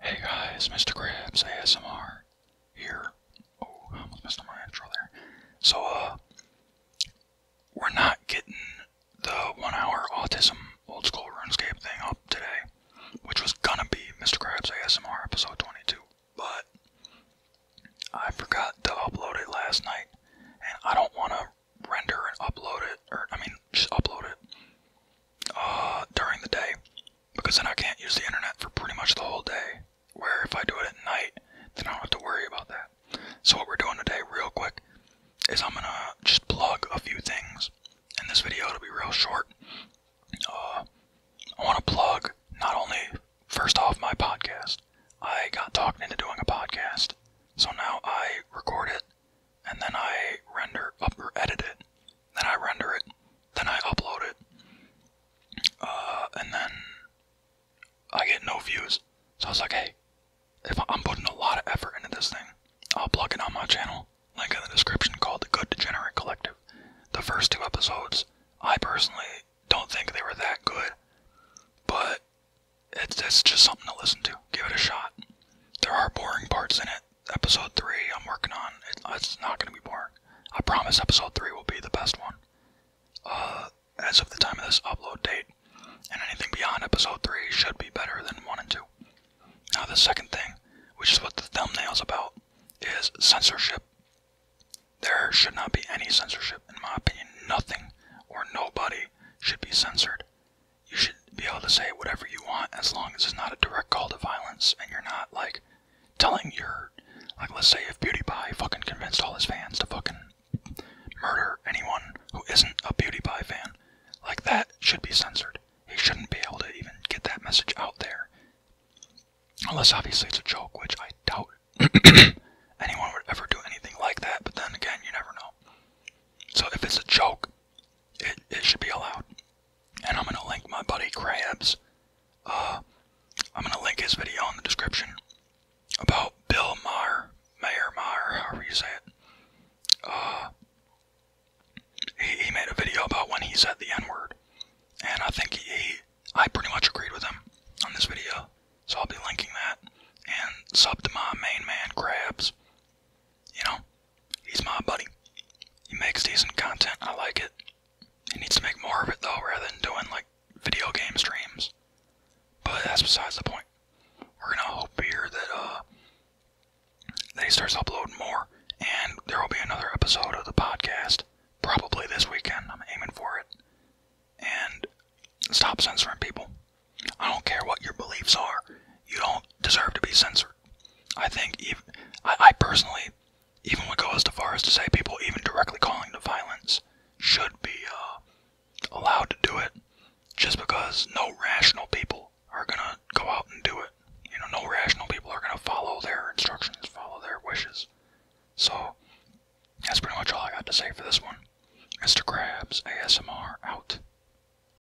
Hey guys, Mr. Krabs ASMR here. Oh, almost missed my intro there. So, uh, we're not getting the one hour autism old school RuneScape thing up today, which was gonna be Mr. Krabs ASMR episode 22, but I forgot to upload it last night, and I don't want to render and upload it, or I mean, just upload it uh, during the day because then I can't use the internet for pretty much the whole day. Where if I do it at night, then I don't have to worry about that. So, what we're doing today, real quick, is I'm gonna just plug a few things in this video. It'll be real short. Uh, I want to plug not only, first off, my podcast. I got talked into doing a podcast, so now I record it and then I render up or edit it. Then I render it. Then I upload it. Uh, and then I get no views. So I was like, hey, if I'm putting a lot of effort into this thing, I'll plug it on my channel. Link in the description called The Good Degenerate Collective. The first two episodes, I personally don't think they were that good, but it's just something to listen to. Give it a shot. There are boring parts in it, episode three I'm working on. it's not going to be boring. I promise episode three will be the best one. Uh, as of the time of this upload date, and anything beyond episode three should be better than one and two. Now, the second thing, which is what the thumbnail's about, is censorship. There should not be any censorship, in my opinion. Nothing or nobody should be censored you should be able to say whatever you want as long as it's not a direct call to violence and you're not like telling your like let's say if Beauty by fucking convinced all his fans to fucking murder anyone who isn't a Beauty by fan, like that should be censored. He shouldn't be able to even get that message out there. Unless obviously it's a joke, which I doubt anyone would ever do anything like that, but then again you never know. So if it's a joke, it, it should be allowed and I'm gonna link my buddy Crabs. Uh, I'm gonna link his video in the description about Bill Maher, Mayor Maher, however you say it. Uh, he, made a video about when he said the N-word, and I think he, I pretty much agreed with him on this video, so I'll be linking that. And sub to my main man Crabs. You know, He's my buddy. He makes decent content. I like it. He needs to make more of it though, rather than doing like video game streams. But that's besides the point. We're gonna hope here that uh that he starts uploading more, and there will be another episode of the podcast probably this weekend. I'm aiming for it. And stop censoring people. I don't care what your beliefs are. You don't deserve to be censored. I think I, personally even would go as far as to say people even directly calling for violence should be uh, allowed to do it, just because no rational people are gonna go out and do it. You know, no rational people are gonna follow their instructions, follow their wishes. So that's pretty much all I got to say for this one. Mr. Krabs ASMR out.